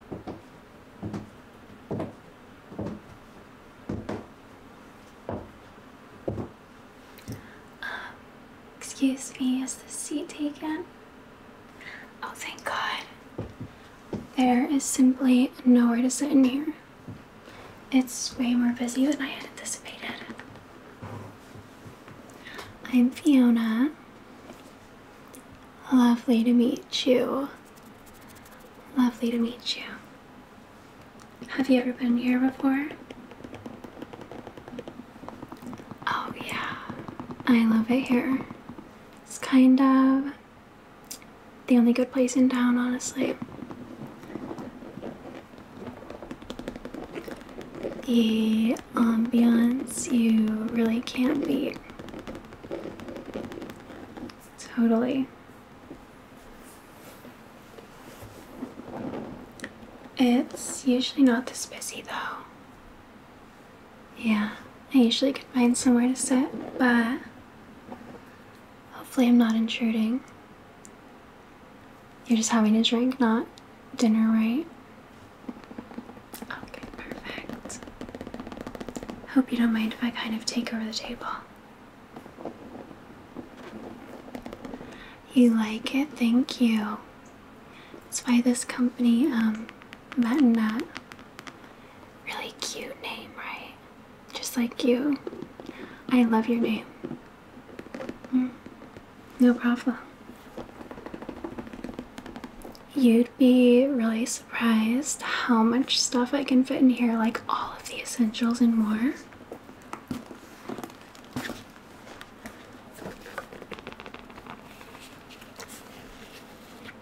Uh, excuse me, is the seat taken? Oh, thank God. There is simply nowhere to sit in here. It's way more busy than I had anticipated. I'm Fiona. Lovely to meet you. Lovely to meet you. Have you ever been here before? Oh, yeah. I love it here. It's kind of the only good place in town, honestly. The ambiance you really can't beat. Totally. It's usually not this busy though. Yeah, I usually could find somewhere to sit, but hopefully I'm not intruding. You're just having a drink, not dinner, right? Okay, perfect. Hope you don't mind if I kind of take over the table. You like it? Thank you. It's by this company, um, Met and Nut. Really cute name, right? Just like you. I love your name. Mm. no problem. You'd be really surprised how much stuff I can fit in here, like all of the essentials and more.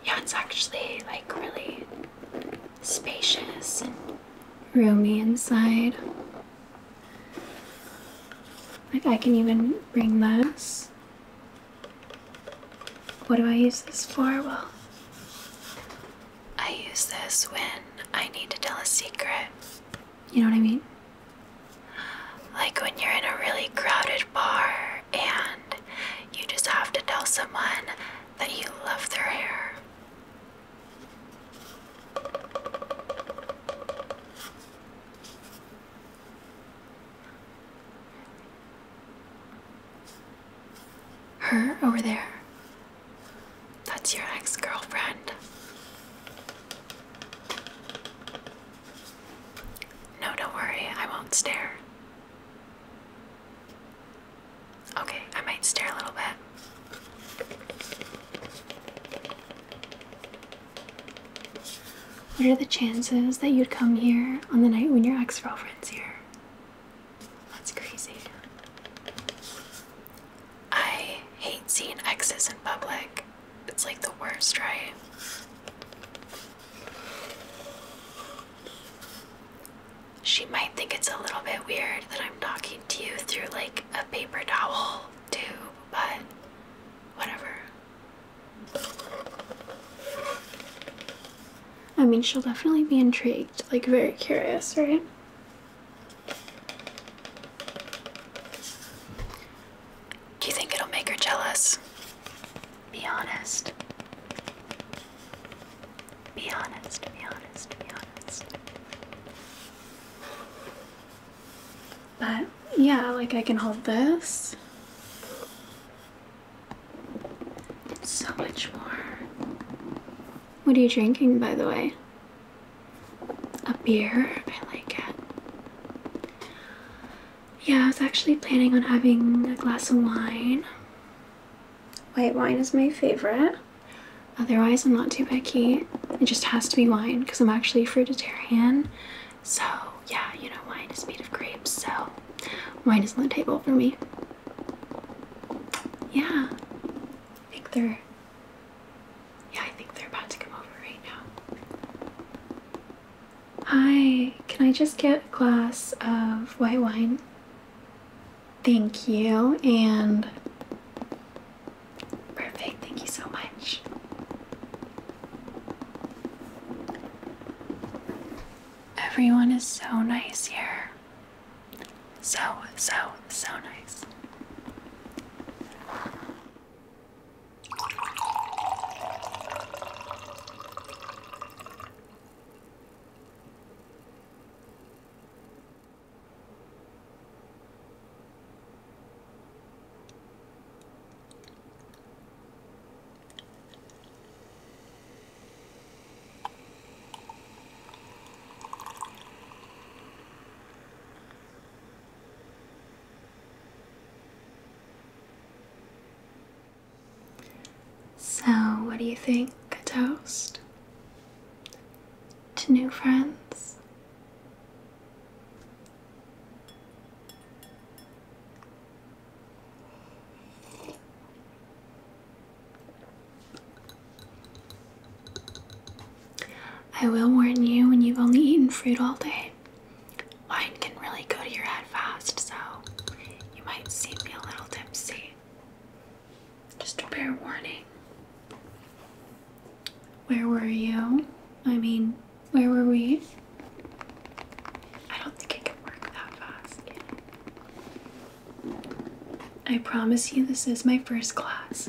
Yeah, it's actually like really spacious and roomy inside. Like, I can even bring this what do I use this for? Well, I use this when I need to tell a secret. You know what I mean? Like when you're in a really crowded bar and you just have to tell someone that you love their hair. Her over there. That's your ex girlfriend. No, don't worry, I won't stare. Okay, I might stare a little bit. What are the chances that you'd come here on the night when your ex girlfriend's here? That's crazy. I hate seeing exes in public. It's like the worst, right? She might think it's a little bit weird that I'm talking to you through like a paper towel too. but whatever. I mean, she'll definitely be intrigued, like very curious, right? Do you think it'll make her jealous? Be honest. Be honest, be honest, be honest. But yeah, like I can hold this so much more. What are you drinking, by the way? A beer? I like it. Yeah, I was actually planning on having a glass of wine. White wine is my favorite. Otherwise, I'm not too picky. It just has to be wine because I'm actually a fruitarian. So, yeah, you know, wine is made of grapes, so Wine is on the table for me. Yeah. I think they're Yeah, I think they're about to come over right now. Hi, can I just get a glass of white wine? Thank you and perfect, thank you so much. Everyone is so nice here. So, so, so nice. So, what do you think? A toast? To new friends? I will warn you when you've only eaten fruit all day, wine can really go to your head fast, so you might see me a little tipsy. Just a bare warning. Where were you? I mean, where were we? I don't think it can work that fast. I promise you, this is my first class.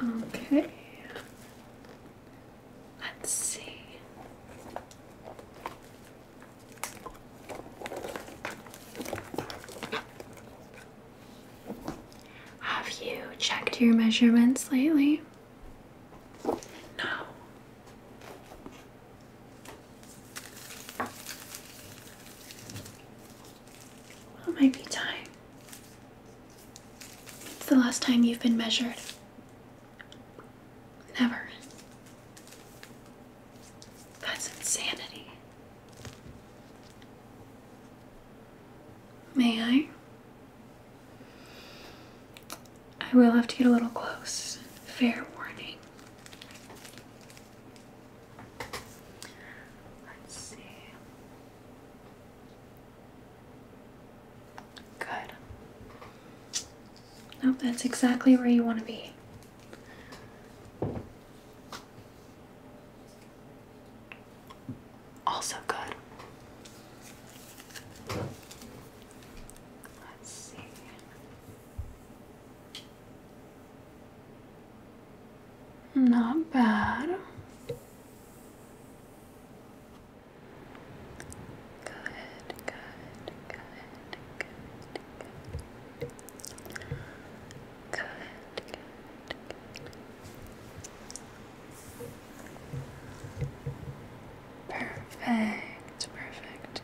Okay, let's see. Have you checked your measurements lately? No. it might be time. It's the last time you've been measured. Never. That's insanity. May I? I will have to get a little close. Fair warning. Let's see. Good. Nope, that's exactly where you want to be. Also good. Let's see. Not bad. Good, good, good, good, Good, good, perfect.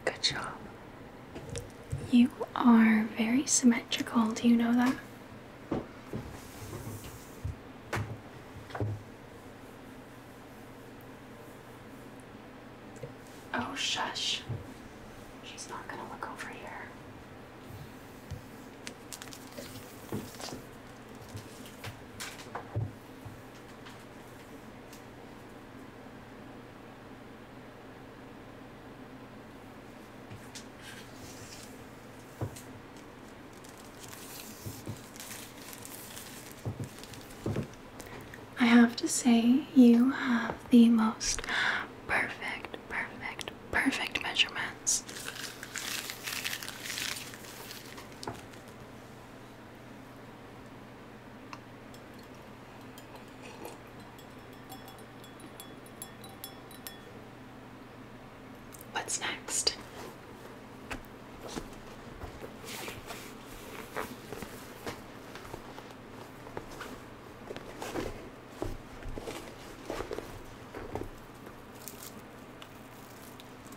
Good job. You are very symmetrical, do you know that? Oh, shush. She's not gonna look over here. I have to say, you have the most perfect, perfect, perfect measurements. What's next?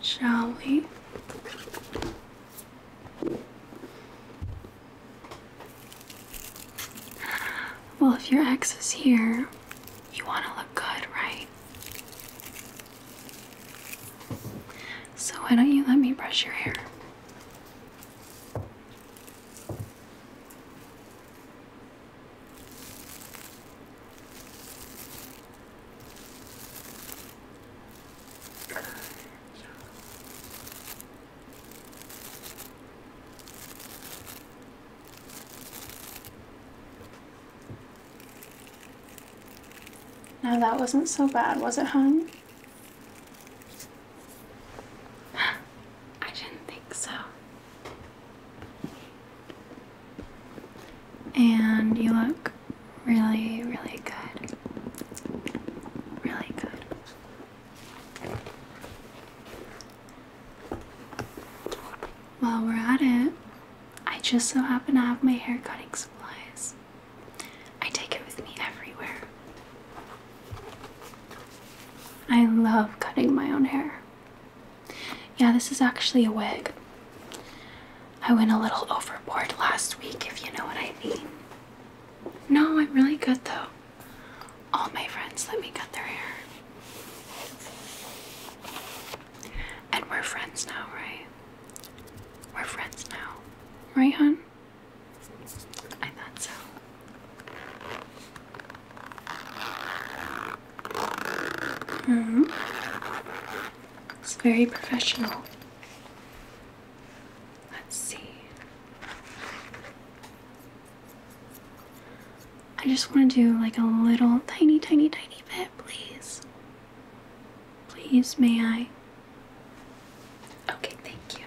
Shall we? Well, if your ex is here, you want to look good, right? So, why don't you let me brush your hair? Now that wasn't so bad, was it, hon? I didn't think so. And you look really, really good. Really good. While we're at it, I just so happen to have my hair cutting supplies. I take it with me everywhere. I love cutting my own hair. Yeah, this is actually a wig. I went a little overboard last week, if you know what I mean. No, I'm really good though. All my friends let me cut their hair. And we're friends now, right? We're friends now. Right, hun? I thought so. Hmm. It's very professional. Let's see. I just want to do like a little tiny, tiny, tiny bit, please. Please, may I? Okay, thank you.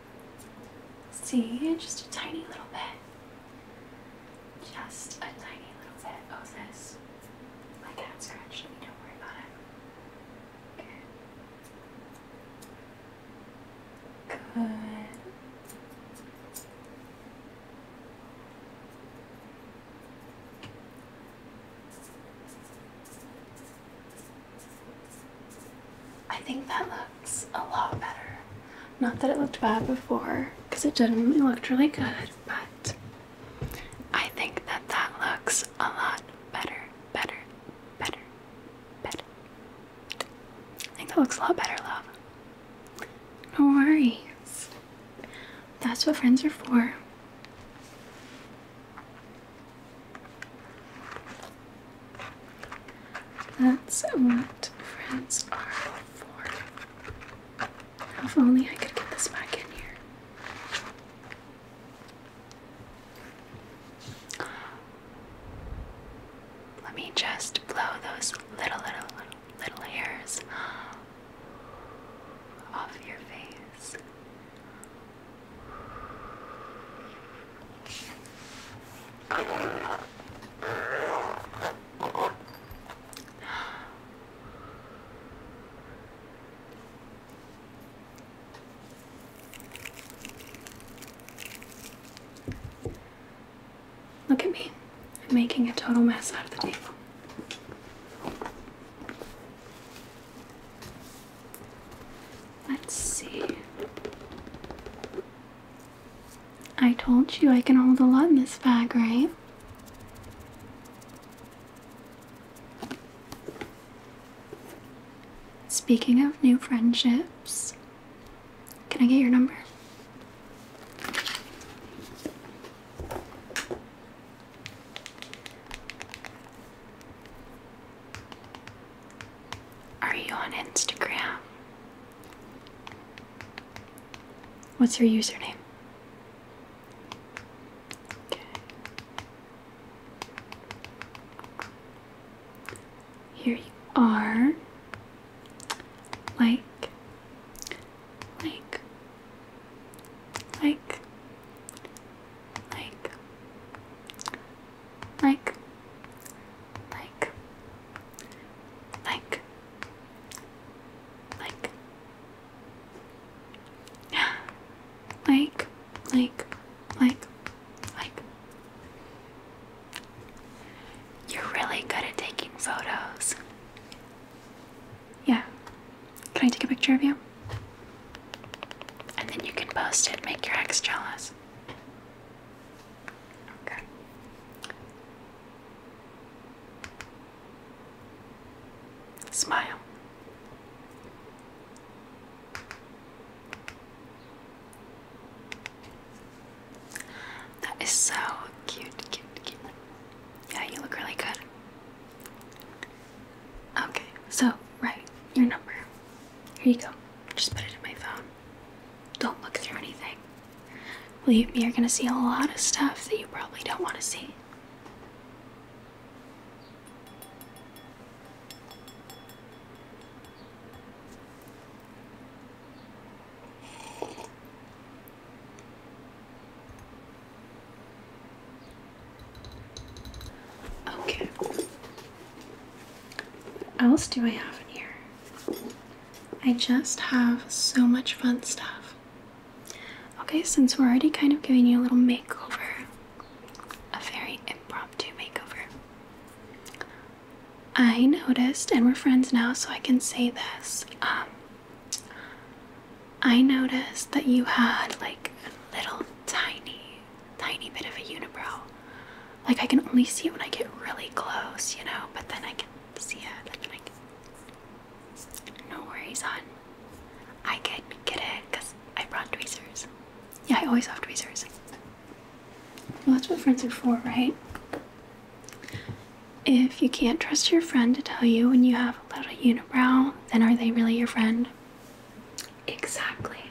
See, just a tiny little bit. Just a tiny little bit. Oh, this. My cat scratched me. Don't worry about it. Good. Good. I think that looks a lot better. Not that it looked bad before, because it genuinely looked really good, but I think that that looks a lot better, better, better, better. I think that looks a lot better, love. No worries. That's what friends are for. That's what friends are for. If only I could get this back in here. Let me just blow those little, little, little, little off your face. Look at me. I'm making a total mess out of the table. Let's see. I told you I can hold a lot in this bag, right? Speaking of new friendships, can I get your number? Are you on Instagram? What's your username? Here you are. Like, like, like, like, like, like, like, like, like, like, like, like. You're really good at taking photos. Yeah. Can I take a picture of you? And then you can post it, make your ex jealous. Okay. Smile. That is so cute, cute, cute. Yeah, you look really good. Okay, so, right, your number. Here you go. Just put it in my phone. Don't look through anything. Believe me, you're gonna see a lot of stuff that you probably don't want to see. Okay. What else do I have in here? I just have so much fun stuff. Okay, since we're already kind of giving you a little makeover, a very impromptu makeover, I noticed, and we're friends now, so I can say this. Um, I noticed that you had like a little tiny tiny bit of a unibrow. Like I can only see it when I get really close, you know, but then I can see it no worries on. I can get it because I brought tweezers. Yeah, I always have tweezers. Well that's what friends are for, right? If you can't trust your friend to tell you when you have a little unibrow, then are they really your friend? Exactly.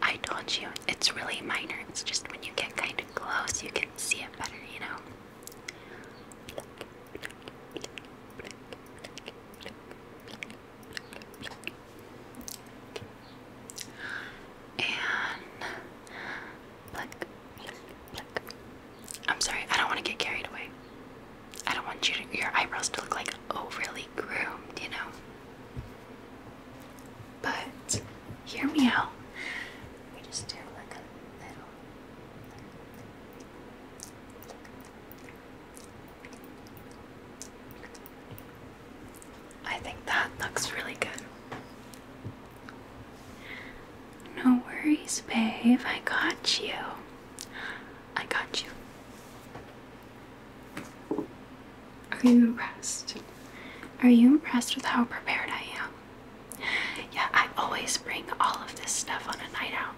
I told you, it's really minor. It's just when you get kind of close, you can see it better, you know? And Black, black, I'm sorry, I don't want to get carried away. I don't want your eyebrows to look like overly groomed, you know? But hear me out. I think that looks really good. No worries, babe. I got you. I got you. Are you impressed? Are you impressed with how prepared I am? Yeah, I always bring all of this stuff on a night out.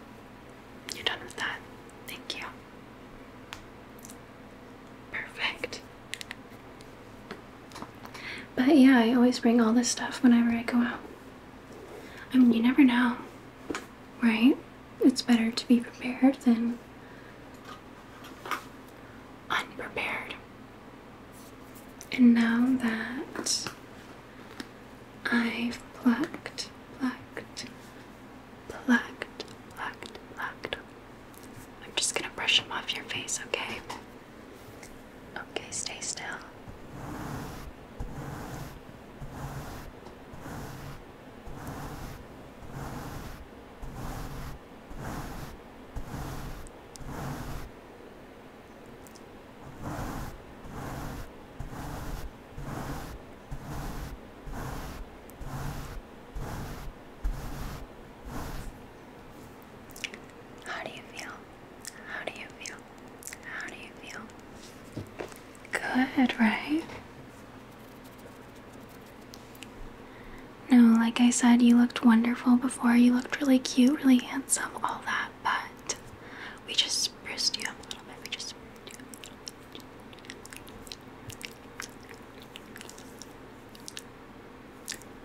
You're done with that. Thank you. Perfect. But yeah, I always bring all this stuff whenever I go out. I mean, you never know, right? It's better to be prepared than unprepared. And now that I've plucked, plucked, plucked, plucked, plucked, I'm just gonna brush them off your face, okay? Okay, stay still. How do you feel? How do you feel? How do you feel? Good, right? No, like I said, you looked wonderful before. You looked really cute, really handsome, all that, but we just spruced you up a little bit. We just spruced you up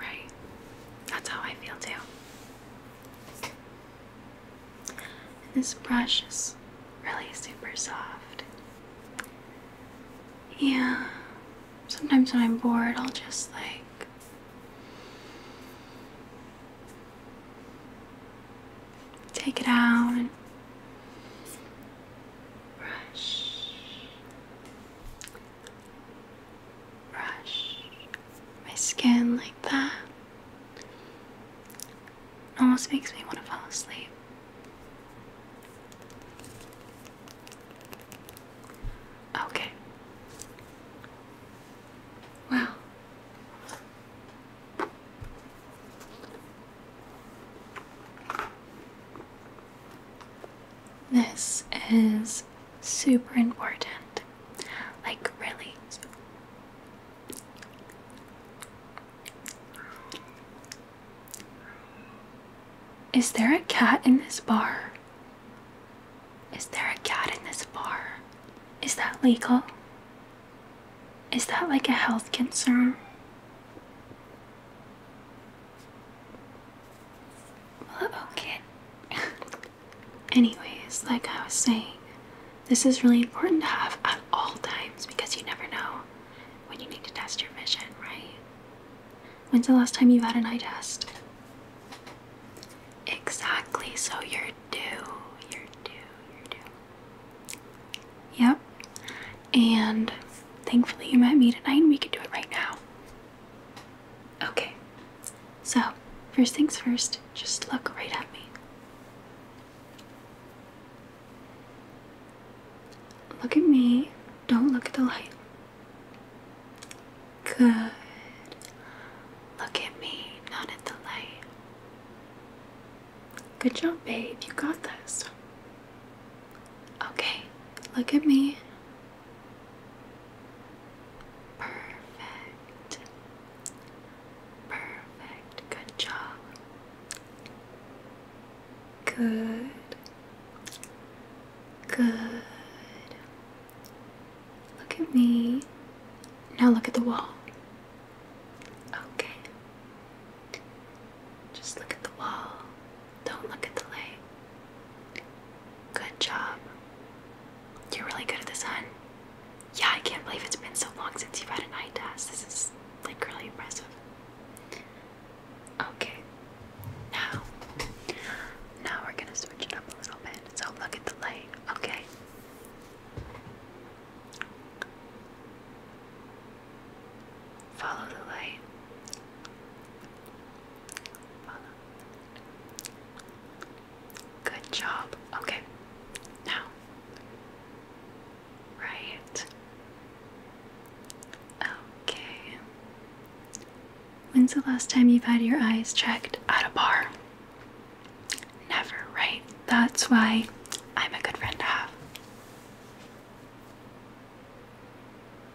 Right? That's how I feel too. And this brush is really super soft. Yeah. Sometimes when I'm bored, I'll just like take it out and brush brush my skin like that. It almost makes me want to fall asleep. Okay. Well, this is super important. Like, really. Is there a cat in this bar? Is there a cat in this bar? Is that legal? Is that like a health concern? Well, Anyways, like I was saying, this is really important to have at all times because you never know when you need to test your vision, right? When's the last time you've had an eye test? Exactly, so you're due. You're due, you're due. Yep. And thankfully you met me tonight and we could do it right now. Okay, so first things first, just look right at me. Look at me, don't look at the light. Good. Look at me, not at the light. Good job, babe, you got this. Okay, look at me, Perfect. Perfect. Good job. Good. Good. Look at me. Now look at the wall. Okay. Just look at the wall. Don't look at the light. Good job. You're really good at this, hun. Yeah, I can't believe it's been so long since you've had an eye test. This is like really impressive. Okay. Now, now we're gonna switch it up a little bit. So look at the light, okay? Follow the light. Good job. Okay. Now. Right. Okay. When's the last time you've had your eyes checked at a bar? Never, right? That's why I'm a good friend to have.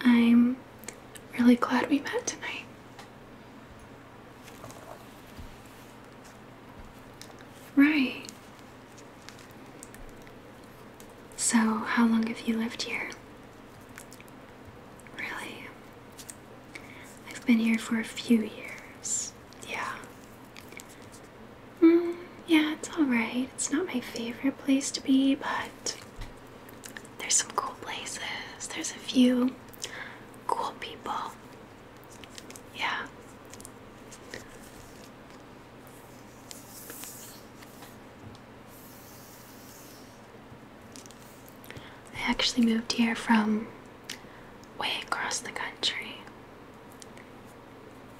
I'm really glad we met tonight. Right. So, how long have you lived here? Really? I've been here for a few years. Yeah. Mm, yeah, it's alright. It's not my favorite place to be, but there's some cool places. There's a few cool people. Yeah. I actually moved here from way across the country.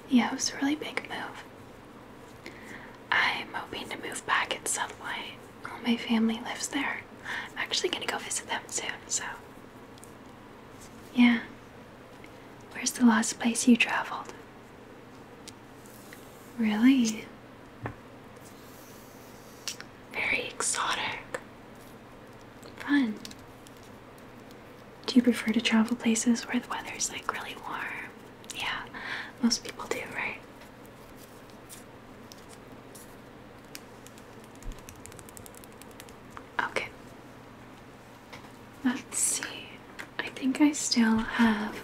Yeah, it was a really big move. I'm hoping to move back at some point. All my family lives there. I'm actually gonna go visit them soon, so. Yeah. Where's the last place you traveled? Really? Very exotic. Fun. Do you prefer to travel places where the weather's like really warm yeah, most people do, right? Okay. Let's see. I think I still have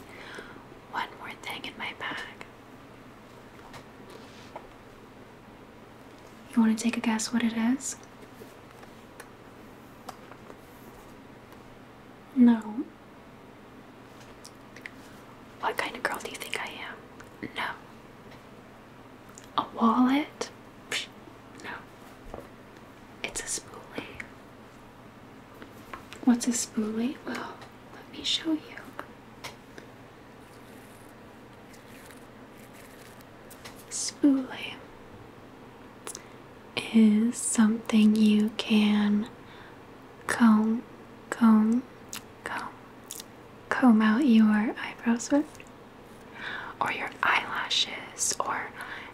one more thing in my bag. You want to take a guess what it is? No. What kind of girl do you think I am? No. A wallet? Psh, no. It's a spoolie. What's a spoolie? Well, let me show you. Spoolie is something you can comb, comb, comb, comb out your eyebrows with, or your eyelashes, or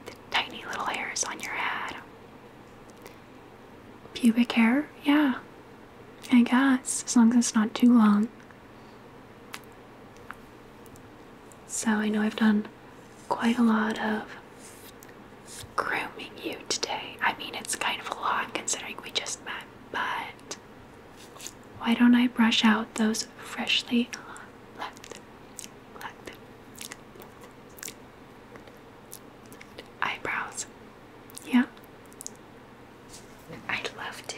the tiny little hairs on your head. Pubic hair, yeah, I guess, as long as it's not too long. So I know I've done quite a lot of grooming you today. I mean, it's kind of a lot considering we just met, but why don't I brush out those freshly left? eyebrows. Yeah? I'd love to.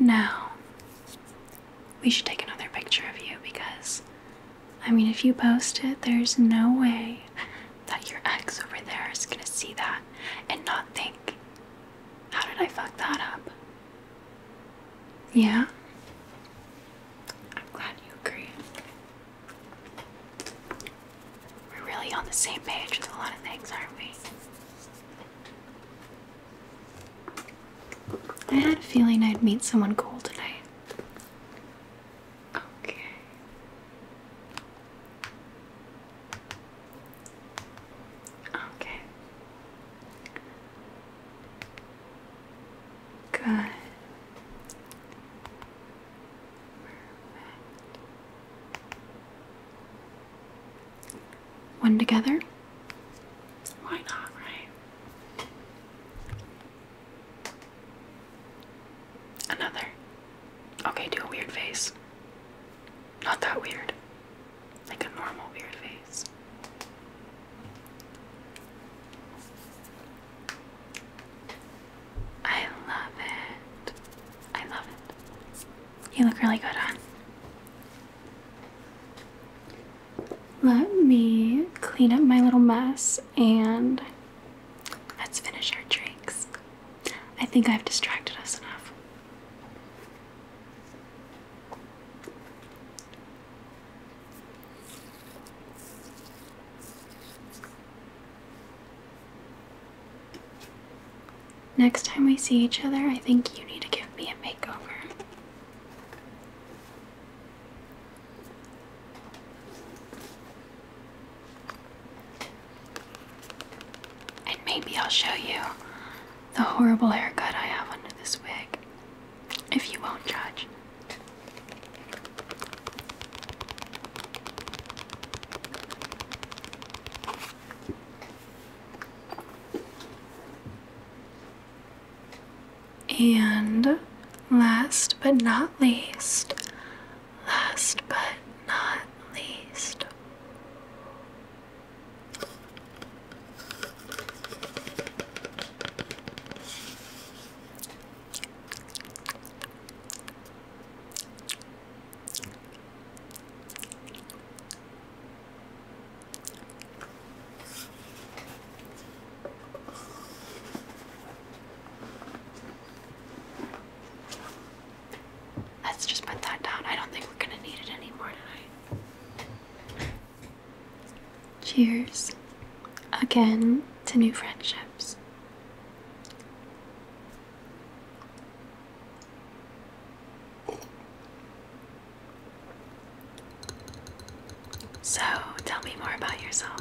Now, we should take another picture of you because, I mean, if you post it, there's no way that your ex over there is gonna see that and not think, How did I fuck that up? Yeah? I'm glad you agree. We're really on the same page with a lot of things, aren't we? I had a feeling I'd meet someone cool tonight. Okay. Okay. Good. One together? Why not, right? Another. Okay, do a weird face. Not that weird. Like a normal weird face. I love it. I love it. You look really good on. Let me clean up my little mess and let's finish our drinks. I think I've distracted us enough. Next time we see each other, I think you need to give me a makeover. And maybe I'll show you the horrible haircut I have under this wig, if you won't judge. And last but not least, last but not least, Let's just put that down. I don't think we're going to need it anymore tonight. Cheers again to new friendships. So, tell me more about yourself.